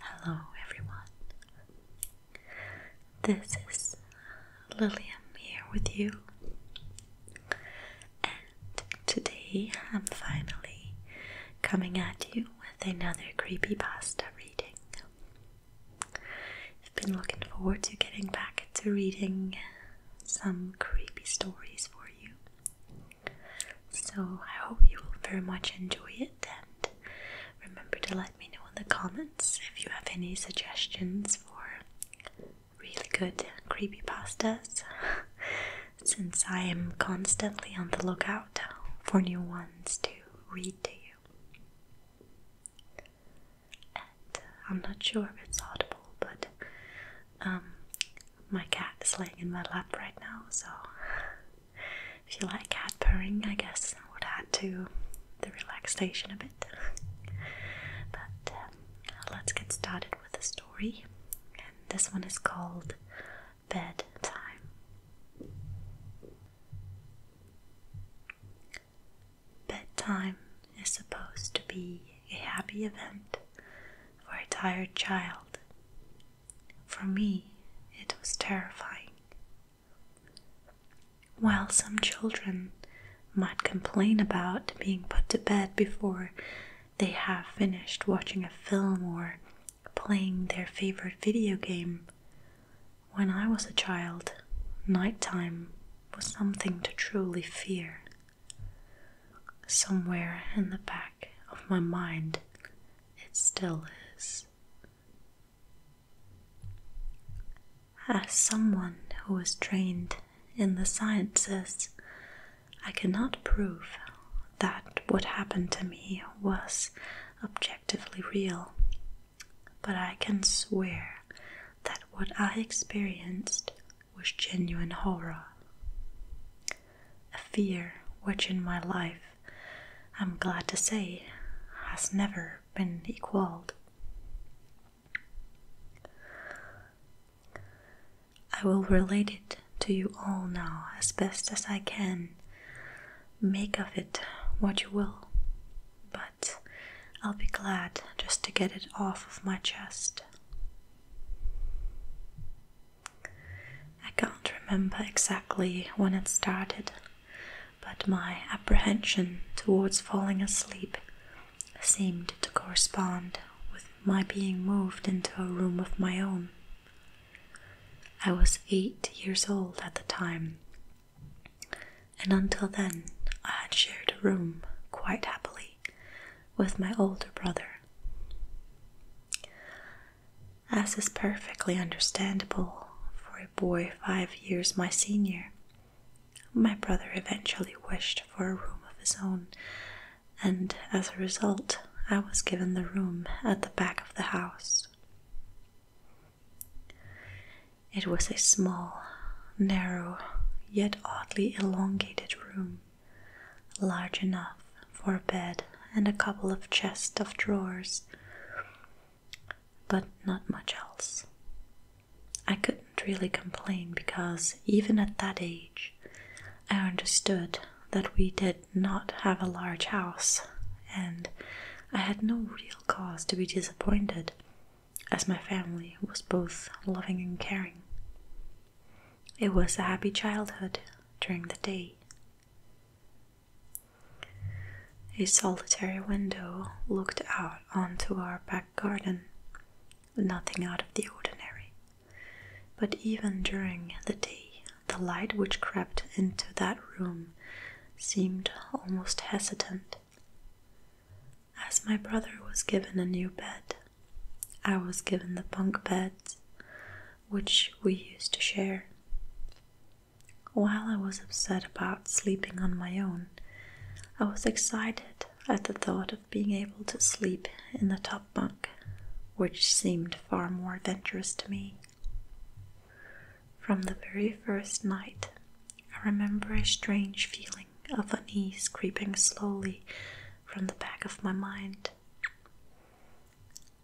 Hello, everyone. This is Lillian here with you, and today I'm finally coming at you with another creepy pasta reading. I've been looking forward to getting back to reading some creepy stories for you. So I hope you will very much enjoy it and remember to let me know in the comments if you have any suggestions for really good creepy pastas since I am constantly on the lookout for new ones to read to you. And uh, I'm not sure if it's audible, but um, my cat is laying in my lap right now, so if you like cat purring, I guess that would add to the relaxation a bit. but um, let's get started with the story, and this one is called Bedtime. Bedtime is supposed to be a happy event for a tired child for me, it was terrifying. While some children might complain about being put to bed before they have finished watching a film or playing their favorite video game, when I was a child, nighttime was something to truly fear. Somewhere in the back of my mind, it still is. As someone who was trained in the sciences, I cannot prove that what happened to me was objectively real, but I can swear that what I experienced was genuine horror a fear which in my life, I'm glad to say, has never been equaled. I will relate it to you all now as best as I can. Make of it what you will, but I'll be glad just to get it off of my chest. I can't remember exactly when it started, but my apprehension towards falling asleep seemed to correspond with my being moved into a room of my own. I was eight years old at the time, and until then I had shared a room quite happily with my older brother as is perfectly understandable for a boy five years my senior. My brother eventually wished for a room of his own, and as a result, I was given the room at the back of the house. It was a small, narrow, yet oddly elongated room, large enough for a bed and a couple of chests of drawers, but not much else. I couldn't really complain because even at that age, I understood that we did not have a large house, and I had no real cause to be disappointed, as my family was both loving and caring. It was a happy childhood during the day. A solitary window looked out onto our back garden, nothing out of the ordinary. But even during the day, the light which crept into that room seemed almost hesitant. As my brother was given a new bed, I was given the bunk beds which we used to share. While I was upset about sleeping on my own, I was excited at the thought of being able to sleep in the top bunk, which seemed far more adventurous to me. From the very first night, I remember a strange feeling of unease creeping slowly from the back of my mind.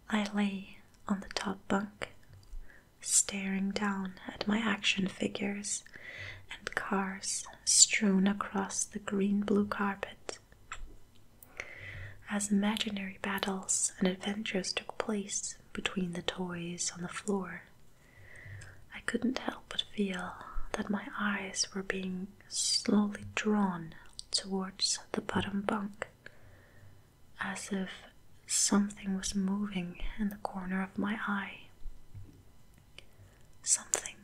I lay on the top bunk, staring down at my action figures and cars strewn across the green blue carpet. As imaginary battles and adventures took place between the toys on the floor, I couldn't help but feel that my eyes were being slowly drawn towards the bottom bunk as if something was moving in the corner of my eye. Something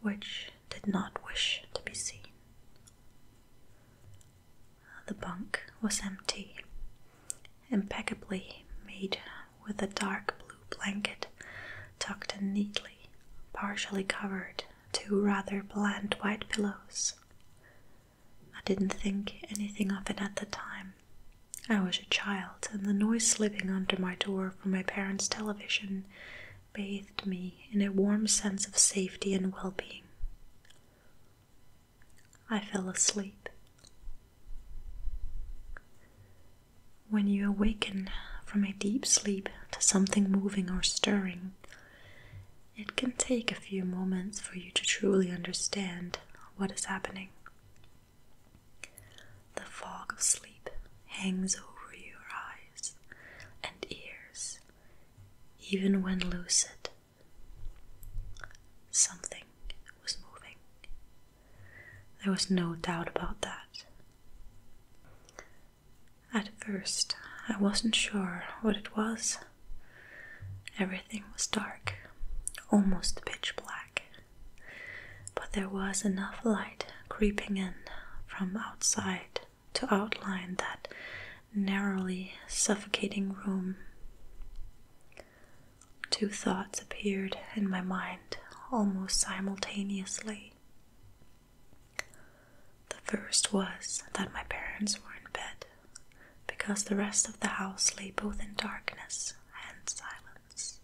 which did not wish to be seen. The bunk was empty, impeccably made with a dark blue blanket tucked in neatly, partially covered two rather bland white pillows. I didn't think anything of it at the time. I was a child, and the noise slipping under my door from my parents' television bathed me in a warm sense of safety and well being. I fell asleep. When you awaken from a deep sleep to something moving or stirring, it can take a few moments for you to truly understand what is happening. The fog of sleep hangs over your eyes and ears, even when lucid. Something was moving. There was no doubt about that. At first, I wasn't sure what it was. Everything was dark, almost pitch black, but there was enough light creeping in from outside to outline that narrowly suffocating room. Two thoughts appeared in my mind almost simultaneously. The first was that my parents were in bed, because the rest of the house lay both in darkness and silence.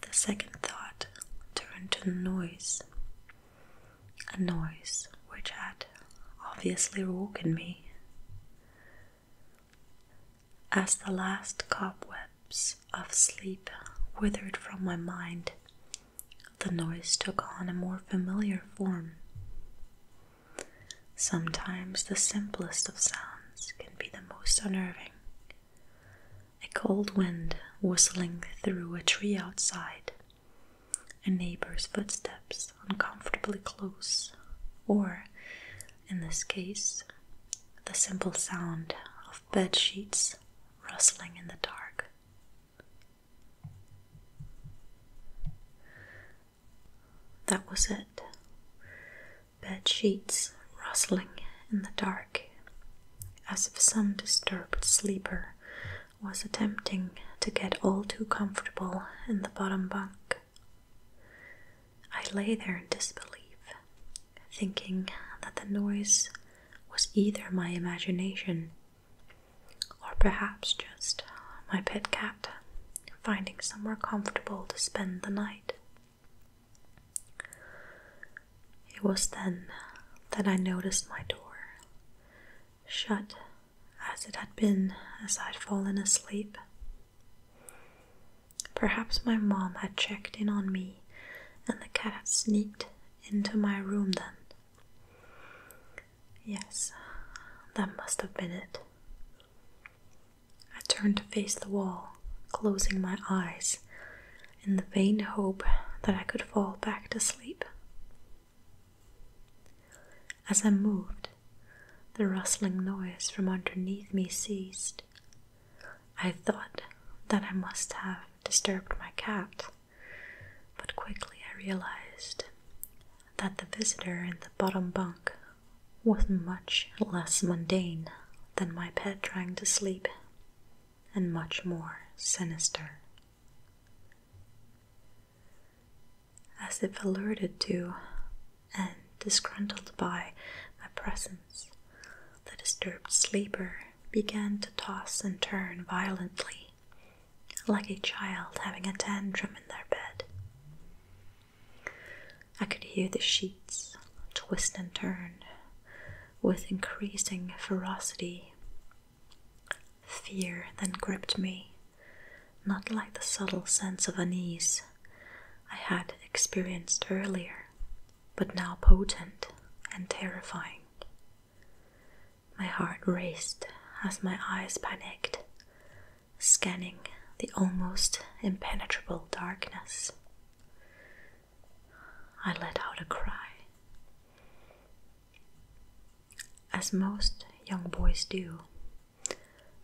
The second thought turned to noise, a noise which had obviously woken me. As the last cobwebs of sleep withered from my mind, the noise took on a more familiar form. Sometimes the simplest of sounds can be the most unnerving. A cold wind whistling through a tree outside, a neighbor's footsteps uncomfortably close, or, in this case, the simple sound of bed sheets rustling in the dark. That was it. Bed sheets rustling in the dark, as if some disturbed sleeper was attempting to get all too comfortable in the bottom bunk. I lay there in disbelief, thinking that the noise was either my imagination or perhaps just uh, my pet cat finding somewhere comfortable to spend the night. It was then that I noticed my door shut as it had been as I'd fallen asleep. Perhaps my mom had checked in on me and the cat had sneaked into my room then Yes, that must have been it. I turned to face the wall, closing my eyes in the vain hope that I could fall back to sleep. As I moved, the rustling noise from underneath me ceased. I thought that I must have disturbed my cat but quickly I realized that the visitor in the bottom bunk was much less mundane than my pet trying to sleep, and much more sinister. As if alerted to and disgruntled by my presence, the disturbed sleeper began to toss and turn violently like a child having a tantrum in their bed. I could hear the sheets twist and turn with increasing ferocity. Fear then gripped me, not like the subtle sense of unease I had experienced earlier, but now potent and terrifying. My heart raced as my eyes panicked, scanning the almost impenetrable darkness. I let out a cry. As most young boys do,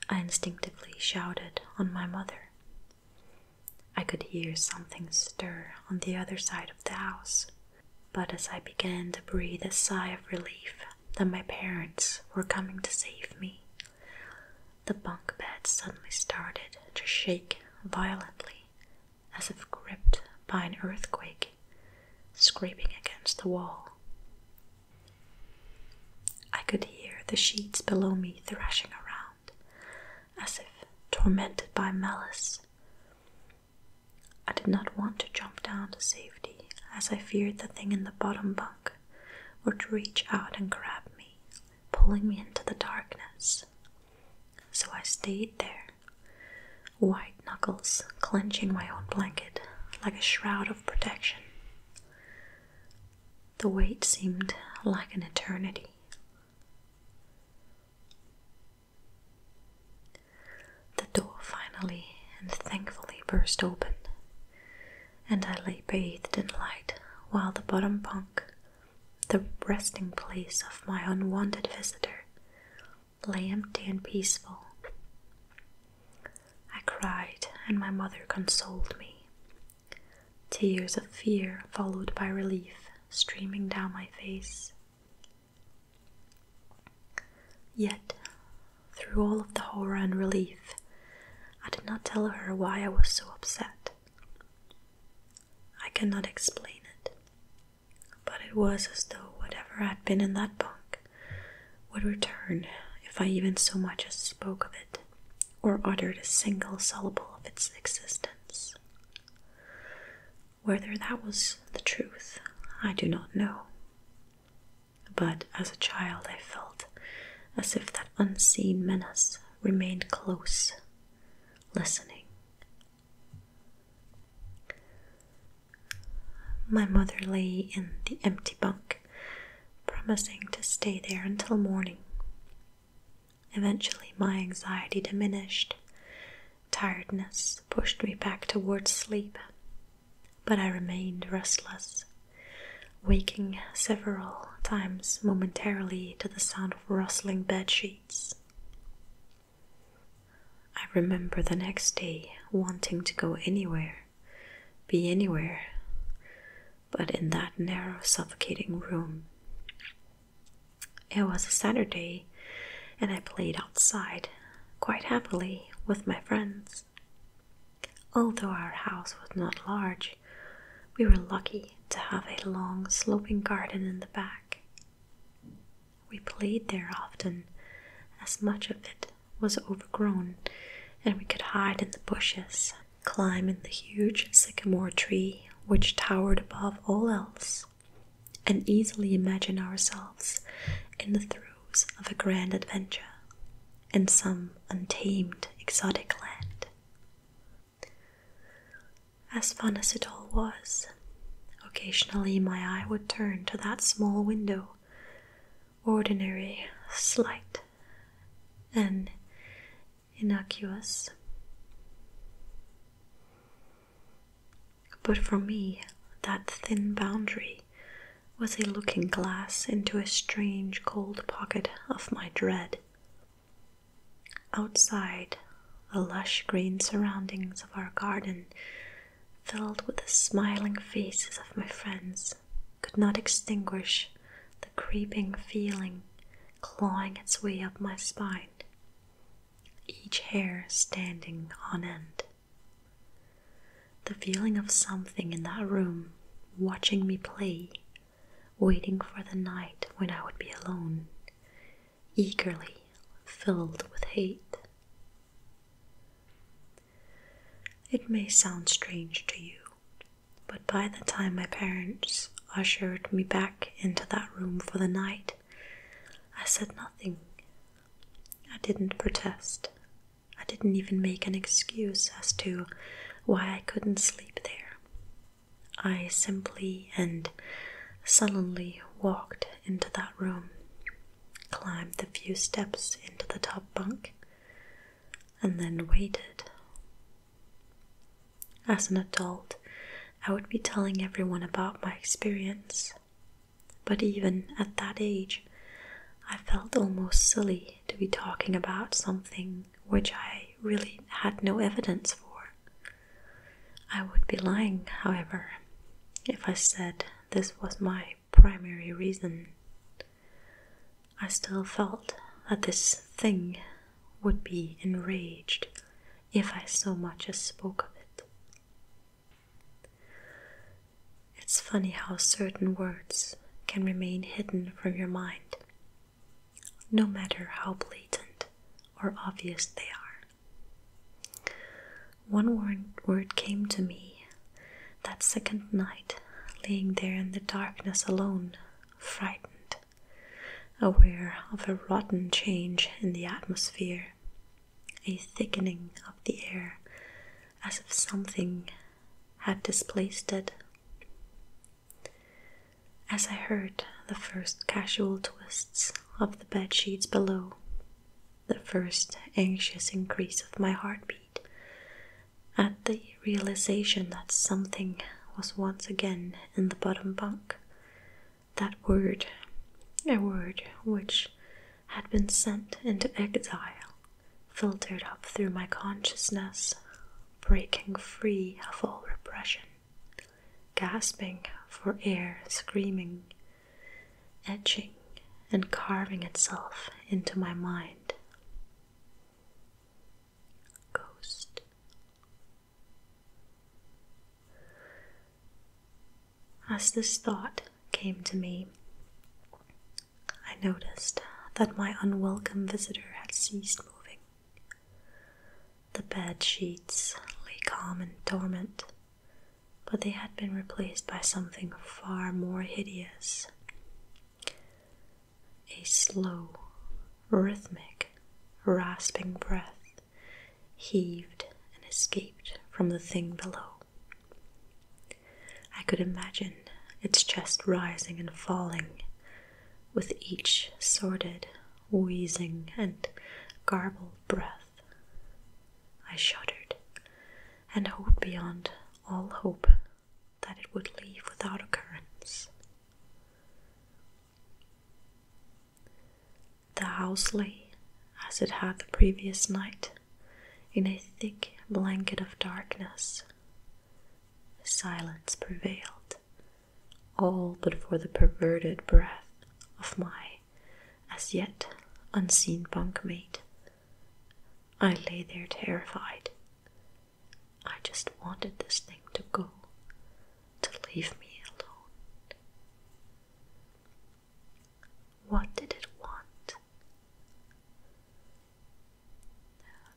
I instinctively shouted on my mother. I could hear something stir on the other side of the house. But as I began to breathe a sigh of relief that my parents were coming to save me, the bunk bed suddenly started to shake violently, as if gripped by an earthquake, scraping against the wall. I could hear the sheets below me thrashing around, as if tormented by malice. I did not want to jump down to safety, as I feared the thing in the bottom bunk would reach out and grab me, pulling me into the darkness. So I stayed there, white knuckles clenching my own blanket like a shroud of protection. The wait seemed like an eternity. The door finally and thankfully burst open, and I lay bathed in light while the bottom bunk, the resting place of my unwanted visitor, lay empty and peaceful. I cried, and my mother consoled me. Tears of fear, followed by relief, streaming down my face. Yet, through all of the horror and relief, I did not tell her why I was so upset. I cannot explain it, but it was as though whatever had been in that bunk would return if I even so much as spoke of it or uttered a single syllable of its existence. Whether that was the truth, I do not know. But as a child, I felt as if that unseen menace remained close, listening. My mother lay in the empty bunk, promising to stay there until morning. Eventually, my anxiety diminished, Tiredness pushed me back toward sleep, but I remained restless, waking several times momentarily to the sound of rustling bed sheets. I remember the next day wanting to go anywhere, be anywhere, but in that narrow, suffocating room, it was a Saturday, and I played outside quite happily with my friends. Although our house was not large, we were lucky to have a long sloping garden in the back. We played there often, as much of it was overgrown, and we could hide in the bushes, climb in the huge sycamore tree which towered above all else, and easily imagine ourselves in the throes of a grand adventure in some untamed exotic land. As fun as it all was, occasionally my eye would turn to that small window, ordinary, slight, and innocuous. But for me, that thin boundary was a looking glass into a strange cold pocket of my dread. Outside, the lush green surroundings of our garden, filled with the smiling faces of my friends, could not extinguish the creeping feeling clawing its way up my spine each hair standing on end. The feeling of something in that room watching me play, waiting for the night when I would be alone, eagerly filled with hate. It may sound strange to you, but by the time my parents ushered me back into that room for the night, I said nothing. I didn't protest. I didn't even make an excuse as to why I couldn't sleep there. I simply and sullenly walked into that room, climbed the few steps into the top bunk, and then waited. As an adult, I would be telling everyone about my experience. But even at that age, I felt almost silly to be talking about something which I really had no evidence for. I would be lying, however, if I said this was my primary reason. I still felt that this thing would be enraged if I so much as spoke of it. It's funny how certain words can remain hidden from your mind, no matter how blatant or obvious they are. One word, came to me that second night, laying there in the darkness alone, frightened, aware of a rotten change in the atmosphere, a thickening of the air, as if something had displaced it. As I heard the first casual twists of the bed sheets below, the first anxious increase of my heartbeat, at the realization that something was once again in the bottom bunk, that word, a word which had been sent into exile, filtered up through my consciousness, breaking free of all repression, gasping for air, screaming, etching, and carving itself into my mind. Ghost, as this thought came to me, I noticed that my unwelcome visitor had ceased moving. The bed sheets lay calm and dormant, but they had been replaced by something far more hideous a slow, rhythmic, rasping breath heaved and escaped from the thing below. I could imagine its chest rising and falling with each sordid, wheezing, and garbled breath. I shuddered and hoped beyond all hope that it would leave without occurrence. The house lay, as it had the previous night, in a thick blanket of darkness. Silence prevailed, all but for the perverted breath of my as yet unseen bunkmate. I lay there terrified. I just wanted this thing to go, to leave me alone. What did it want?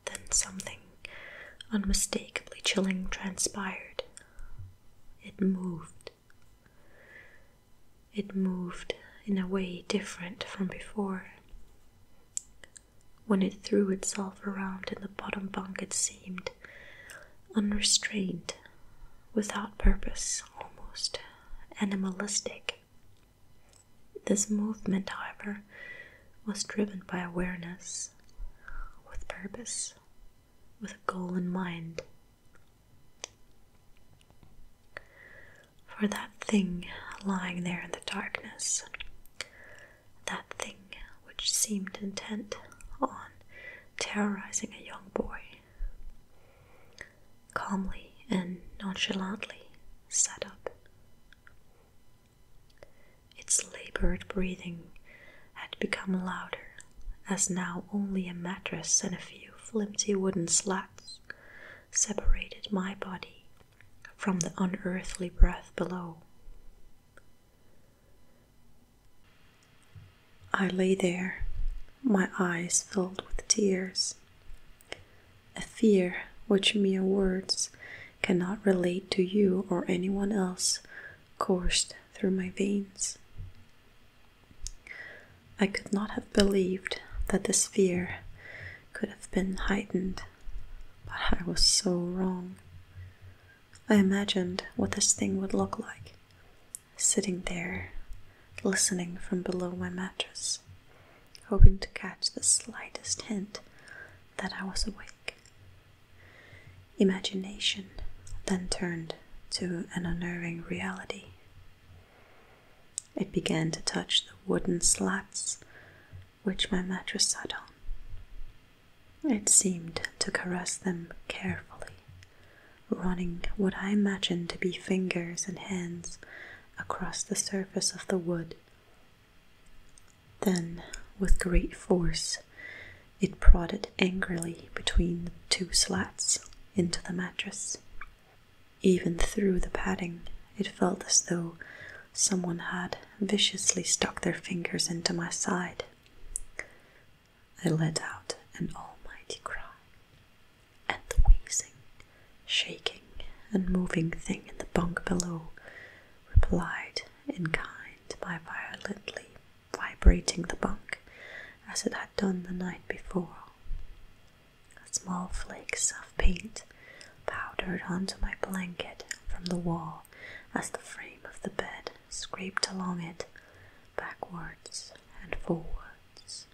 Then something unmistakably chilling transpired. It moved. It moved in a way different from before. When it threw itself around in the bottom bunk, it seemed unrestrained, without purpose, almost animalistic. This movement, however, was driven by awareness, with purpose, with a goal in mind. For that thing lying there in the darkness, that thing which seemed intent on terrorizing a young boy. Calmly and nonchalantly sat up. Its labored breathing had become louder, as now only a mattress and a few flimsy wooden slats separated my body from the unearthly breath below. I lay there, my eyes filled with tears. A fear which mere words cannot relate to you or anyone else coursed through my veins. I could not have believed that this fear could have been heightened, but I was so wrong. I imagined what this thing would look like, sitting there, listening from below my mattress, hoping to catch the slightest hint that I was awake. Imagination then turned to an unnerving reality. It began to touch the wooden slats which my mattress sat on. It seemed to caress them carefully, running what I imagined to be fingers and hands across the surface of the wood. Then, with great force, it prodded angrily between the two slats into the mattress. Even through the padding, it felt as though someone had viciously stuck their fingers into my side. I let out an almighty cry, and the wheezing, shaking, and moving thing in the bunk below replied in kind by violently vibrating the bunk as it had done the night before. Small flakes of paint powdered onto my blanket from the wall as the frame of the bed scraped along it backwards and forwards.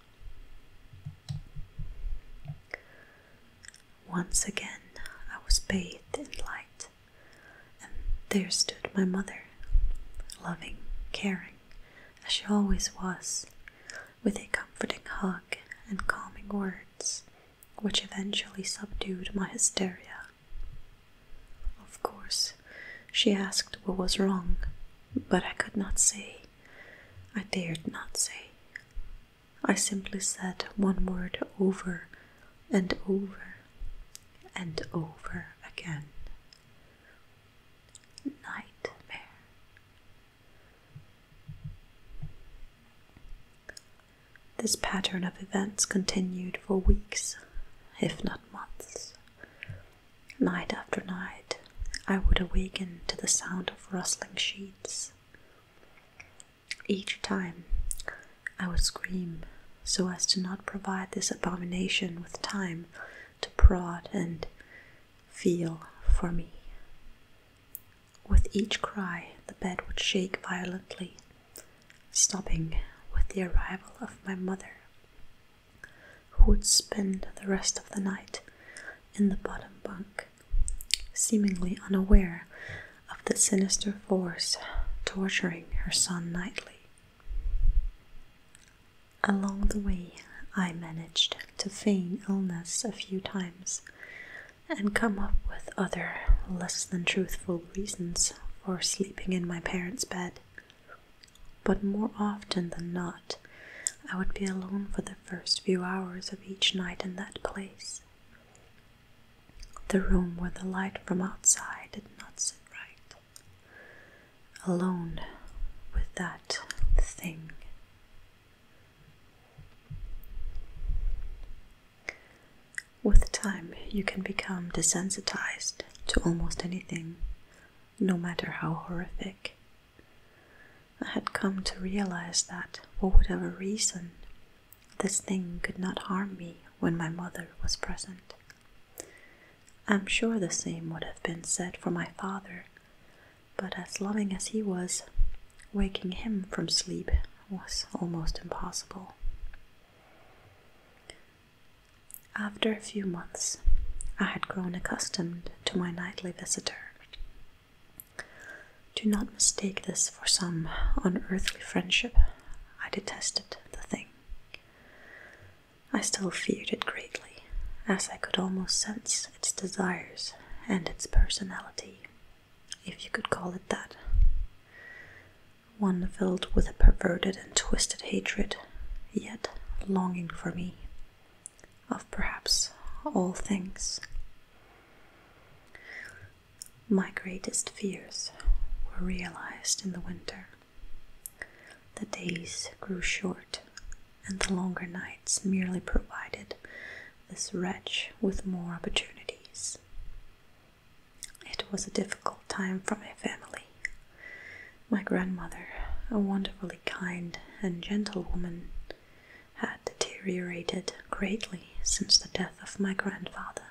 Once again I was bathed in light, and there stood my mother, loving, caring, as she always was, with a comforting hug and calming words, which eventually subdued my hysteria. Of course, she asked what was wrong, but I could not say. I dared not say. I simply said one word over and over and over again. Nightmare. This pattern of events continued for weeks, if not months. Night after night, I would awaken to the sound of rustling sheets. Each time, I would scream so as to not provide this abomination with time to prod and feel for me. With each cry, the bed would shake violently stopping with the arrival of my mother, who would spend the rest of the night in the bottom bunk, seemingly unaware of the sinister force torturing her son nightly. Along the way, I managed to feign illness a few times and come up with other less than truthful reasons or sleeping in my parents' bed. But more often than not, I would be alone for the first few hours of each night in that place. The room where the light from outside did not sit right. Alone with that thing. With time, you can become desensitized to almost anything, no matter how horrific. I had come to realize that, for whatever reason, this thing could not harm me when my mother was present. I'm sure the same would have been said for my father, but as loving as he was, waking him from sleep was almost impossible. After a few months, I had grown accustomed to my nightly visitor. Do not mistake this for some unearthly friendship. I detested the thing. I still feared it greatly, as I could almost sense its desires and its personality, if you could call it that one filled with a perverted and twisted hatred, yet longing for me, of perhaps all things. My greatest fears were realized in the winter. The days grew short, and the longer nights merely provided this wretch with more opportunities. It was a difficult time for my family. My grandmother, a wonderfully kind and gentle woman, had deteriorated greatly since the death of my grandfather.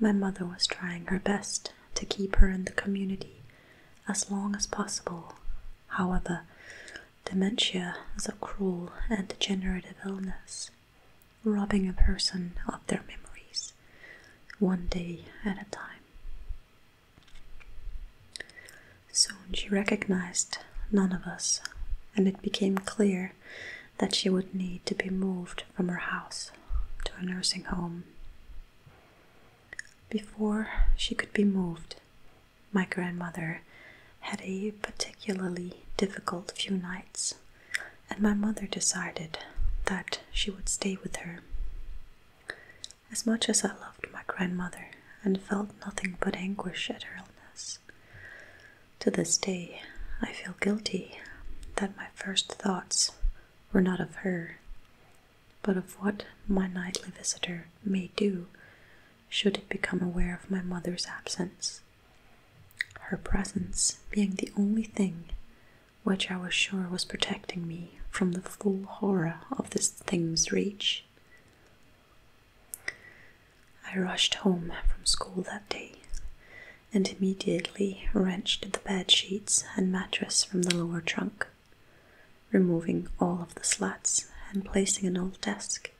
My mother was trying her best to keep her in the community as long as possible. However, dementia is a cruel and degenerative illness robbing a person of their memories, one day at a time. Soon she recognized none of us, and it became clear that she would need to be moved from her house to a nursing home. Before she could be moved, my grandmother had a particularly difficult few nights and my mother decided that she would stay with her. As much as I loved my grandmother and felt nothing but anguish at her illness, to this day I feel guilty that my first thoughts were not of her, but of what my nightly visitor may do should it become aware of my mother's absence her presence being the only thing which I was sure was protecting me from the full horror of this thing's reach. I rushed home from school that day and immediately wrenched the bed sheets and mattress from the lower trunk, removing all of the slats and placing an old desk,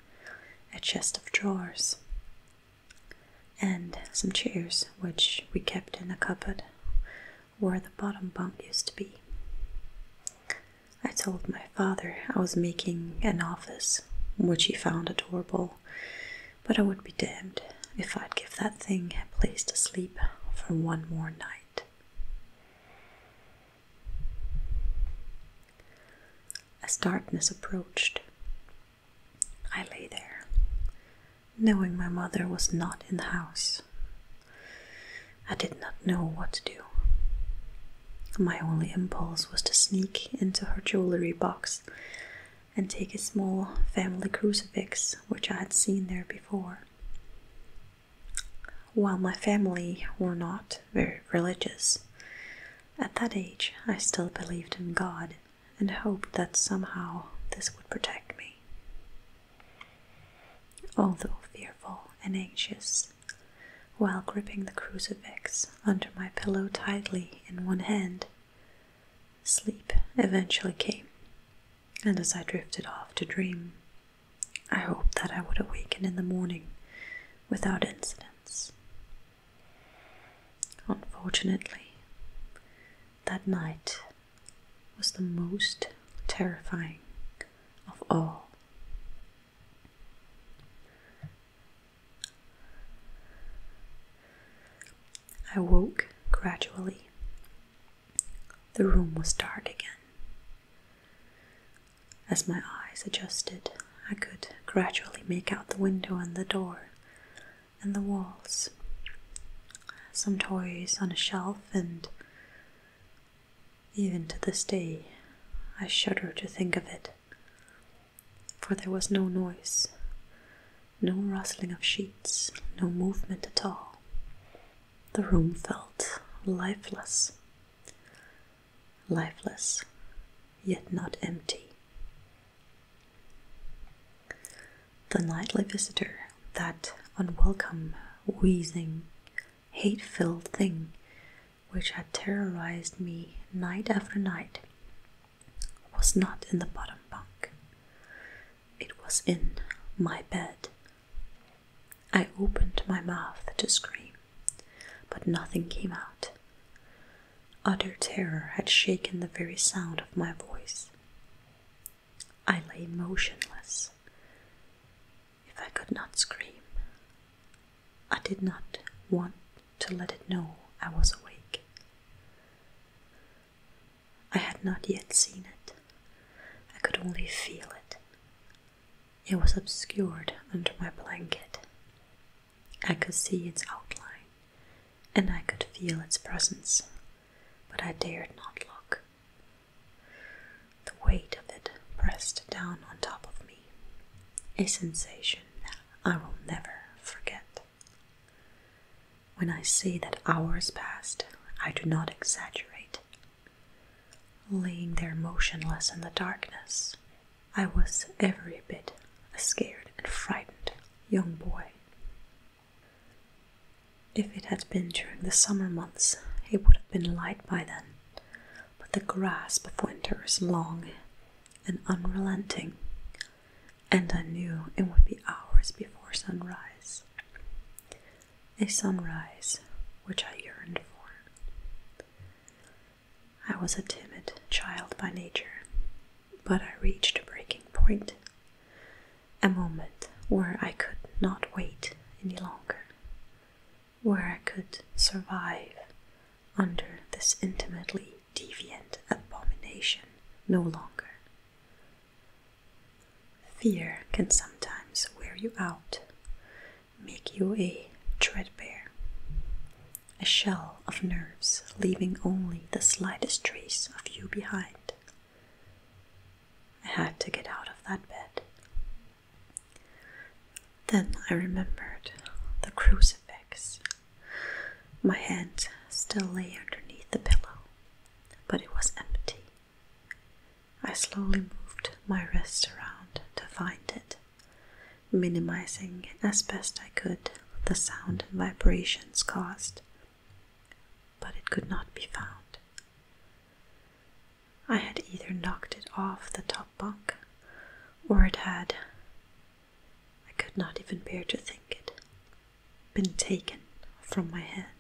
a chest of drawers, and some chairs which we kept in the cupboard where the bottom bunk used to be. I told my father I was making an office, which he found adorable, but I would be damned if I'd give that thing a place to sleep for one more night. As darkness approached, I lay there, knowing my mother was not in the house. I did not know what to do. My only impulse was to sneak into her jewelry box and take a small family crucifix which I had seen there before. While my family were not very religious, at that age I still believed in God and hoped that somehow this would protect me. Although fearful and anxious, while gripping the crucifix under my pillow tightly in one hand, sleep eventually came, and as I drifted off to dream, I hoped that I would awaken in the morning without incidents. Unfortunately, that night was the most terrifying of all. I woke gradually. The room was dark again. As my eyes adjusted, I could gradually make out the window and the door and the walls. Some toys on a shelf, and even to this day, I shudder to think of it, for there was no noise, no rustling of sheets, no movement at all. The room felt lifeless, lifeless, yet not empty. The nightly visitor, that unwelcome, wheezing, hate filled thing which had terrorized me night after night, was not in the bottom bunk. It was in my bed. I opened my mouth to scream, but nothing came out. Utter terror had shaken the very sound of my voice. I lay motionless. If I could not scream, I did not want to let it know I was awake. I had not yet seen it. I could only feel it. It was obscured under my blanket. I could see its outline, and I could feel its presence, but I dared not look. The weight of it pressed down on top of me, a sensation I will never forget. When I say that hours passed, I do not exaggerate. Laying there motionless in the darkness, I was every bit a scared and frightened young boy. If it had been during the summer months, it would have been light by then, but the grasp of winter is long and unrelenting, and I knew it would be hours before sunrise. A sunrise which I yearned for. I was a timid child by nature, but I reached a breaking point, a moment where I could not wait any longer, where I could survive under this intimately deviant abomination no longer. Fear can sometimes wear you out, make you a treadbare, a shell of nerves, leaving only the slightest trace of you behind. I had to get out of that bed. Then I remembered the crucifix. My hand still lay underneath the pillow, but it was empty. I slowly moved my wrist around to find it minimizing as best I could the sound and vibrations caused, but it could not be found. I had either knocked it off the top bunk or it had, I could not even bear to think it, been taken from my hand.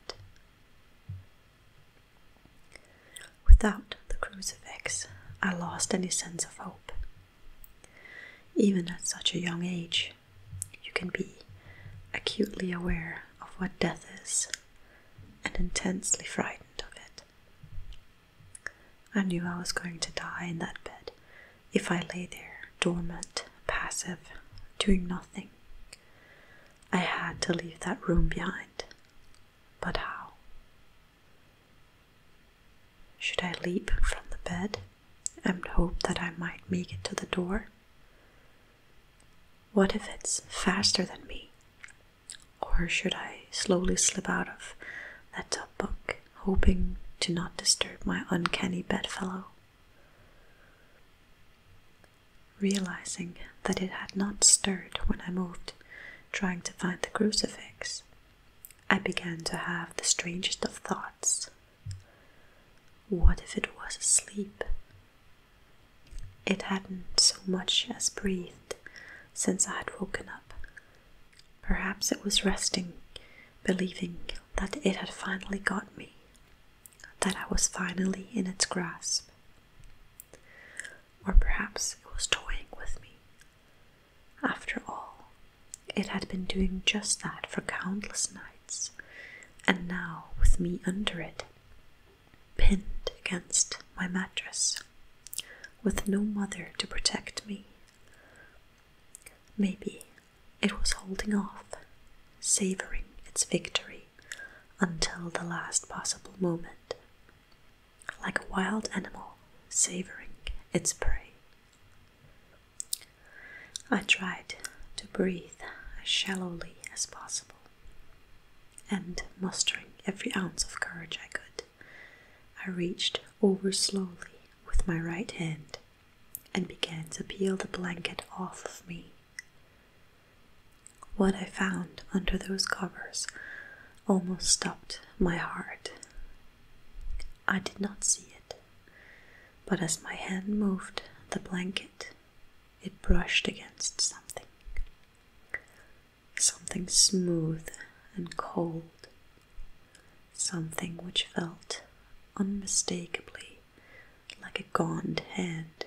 Without the crucifix, I lost any sense of hope even at such a young age, you can be acutely aware of what death is and intensely frightened of it. I knew I was going to die in that bed if I lay there dormant, passive, doing nothing. I had to leave that room behind. But how? Should I leap from the bed and hope that I might make it to the door? What if it's faster than me? Or should I slowly slip out of that top bunk, hoping to not disturb my uncanny bedfellow? Realizing that it had not stirred when I moved, trying to find the crucifix, I began to have the strangest of thoughts. What if it was asleep? It hadn't so much as breathed since I had woken up. Perhaps it was resting, believing that it had finally got me, that I was finally in its grasp. Or perhaps it was toying with me, after all, it had been doing just that for countless nights, and now with me under it, pinned against my mattress, with no mother to protect me. Maybe it was holding off, savoring its victory until the last possible moment, like a wild animal savoring its prey. I tried to breathe as shallowly as possible, and mustering every ounce of courage I could, I reached over slowly with my right hand and began to peel the blanket off of me. What I found under those covers almost stopped my heart I did not see it, but as my hand moved the blanket, it brushed against something. Something smooth and cold, something which felt unmistakably like a gaunt hand.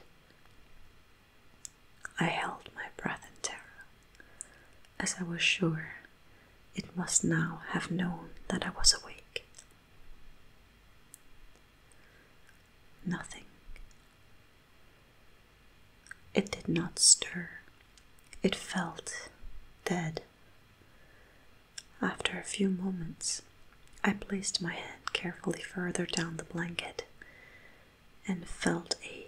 I held my breath in terror as I was sure it must now have known that I was awake. Nothing. It did not stir. It felt dead. After a few moments, I placed my hand carefully further down the blanket and felt a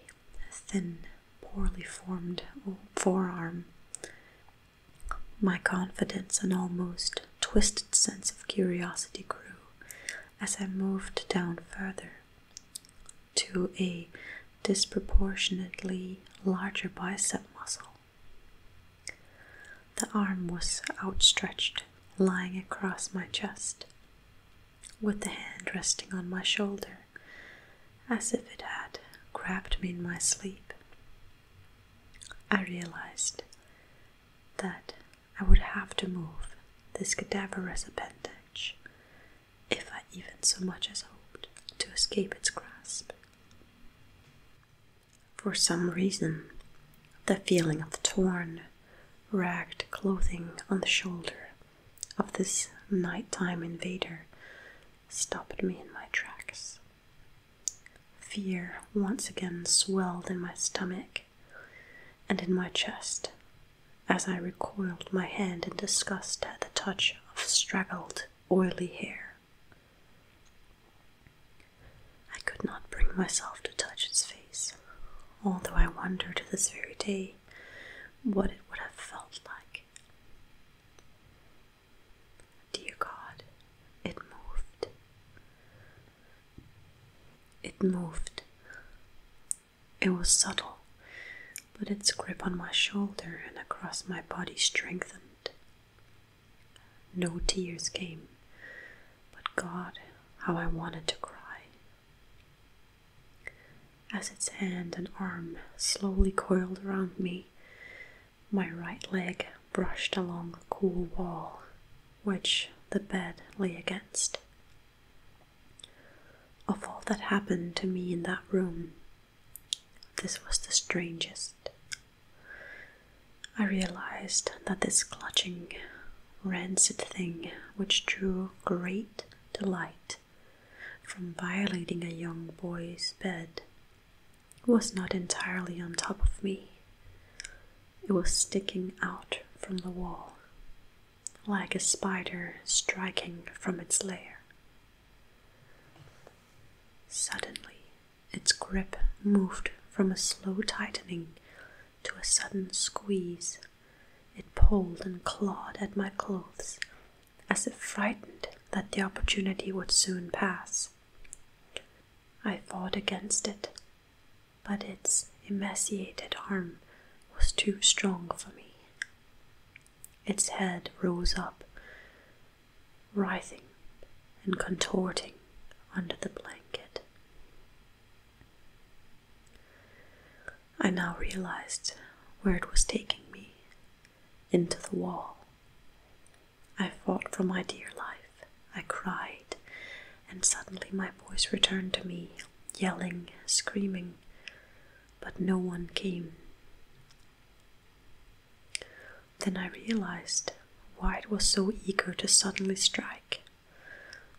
thin poorly formed forearm. My confidence and almost twisted sense of curiosity grew as I moved down further to a disproportionately larger bicep muscle. The arm was outstretched, lying across my chest, with the hand resting on my shoulder, as if it had grabbed me in my sleep. I realized that I would have to move this cadaverous appendage, if I even so much as hoped to escape its grasp. For some reason, the feeling of torn, ragged clothing on the shoulder of this nighttime invader stopped me in my tracks. Fear once again swelled in my stomach and in my chest as I recoiled my hand in disgust at the touch of straggled, oily hair. I could not bring myself to touch its face, although I wonder to this very day what it would have felt like. Dear God, it moved. It moved. It was subtle, but its grip on my shoulder and across my body strengthened. No tears came, but God, how I wanted to cry as its hand and arm slowly coiled around me. My right leg brushed along the cool wall which the bed lay against. Of all that happened to me in that room, this was the strangest. I realized that this clutching, rancid thing which drew great delight from violating a young boy's bed was not entirely on top of me. It was sticking out from the wall, like a spider striking from its lair. Suddenly, its grip moved from a slow tightening to a sudden squeeze. It pulled and clawed at my clothes as if frightened that the opportunity would soon pass. I fought against it, but its emaciated arm was too strong for me. Its head rose up, writhing and contorting under the blanket. I now realized where it was taking me into the wall. I fought for my dear life. I cried, and suddenly my voice returned to me, yelling, screaming, but no one came. Then I realized why it was so eager to suddenly strike,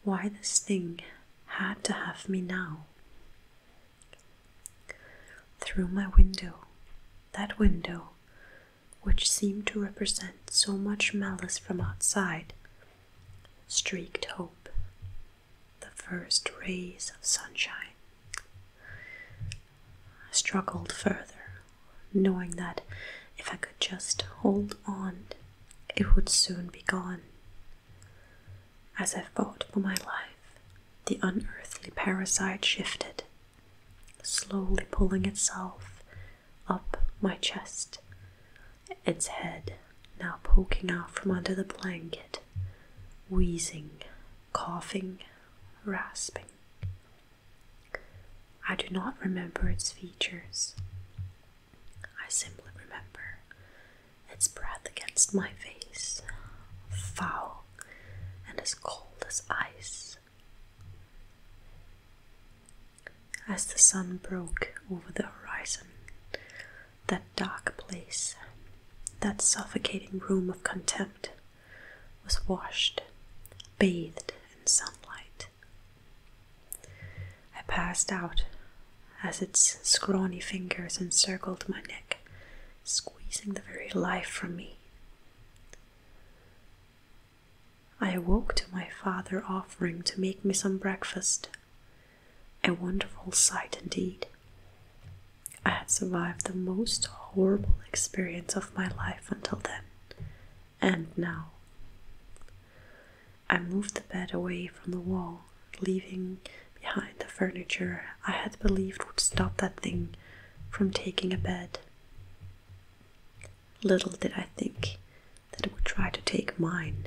why this thing had to have me now. Through my window, that window, which seemed to represent so much malice from outside, streaked hope, the first rays of sunshine. I struggled further, knowing that if I could just hold on, it would soon be gone. As I fought for my life, the unearthly parasite shifted, slowly pulling itself up my chest, its head now poking out from under the blanket, wheezing, coughing, rasping. I do not remember its features. I simply remember its breath against my face, foul and as cold as ice. As the sun broke over the horizon, that dark place, that suffocating room of contempt, was washed, bathed in sunlight. I passed out as its scrawny fingers encircled my neck squeezing the very life from me. I awoke to my father offering to make me some breakfast. A wonderful sight indeed. I had survived the most horrible experience of my life until then, and now. I moved the bed away from the wall leaving behind the furniture I had believed would stop that thing from taking a bed. Little did I think that it would try to take mine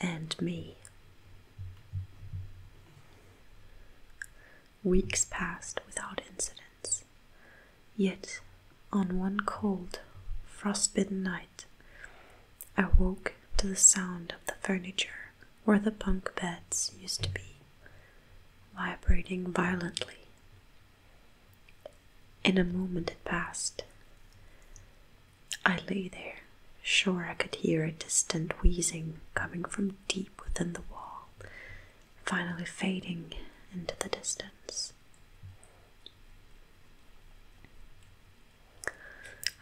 and me. Weeks passed without incidents, yet on one cold, frostbitten night, I woke to the sound of the furniture where the bunk beds used to be, vibrating violently. In a moment it passed. I lay there, sure I could hear a distant wheezing coming from deep within the wall, finally fading into the distance.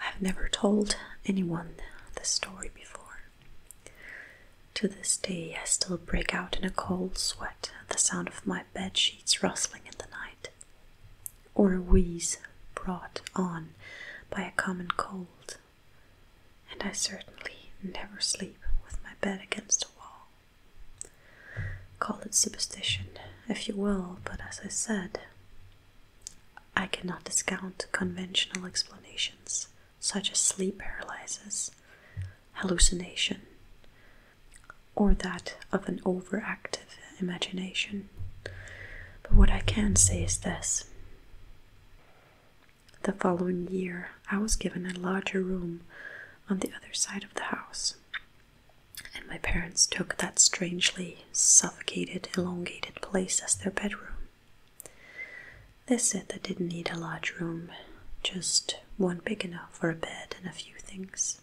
I have never told anyone the story before. To this day, I still break out in a cold sweat at the sound of my bed sheets rustling in the night, or a wheeze brought on by a common cold, and I certainly never sleep with my bed against a wall. Call it superstition, if you will, but as I said, I cannot discount conventional explanations such as sleep paralyses, hallucination, or that of an overactive imagination. But what I can say is this. The following year, I was given a larger room on the other side of the house, and my parents took that strangely suffocated, elongated place as their bedroom. They said they didn't need a large room, just one big enough for a bed and a few things.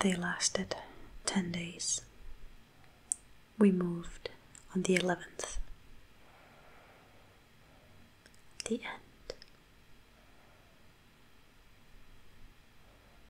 They lasted 10 days. We moved on the 11th. The end.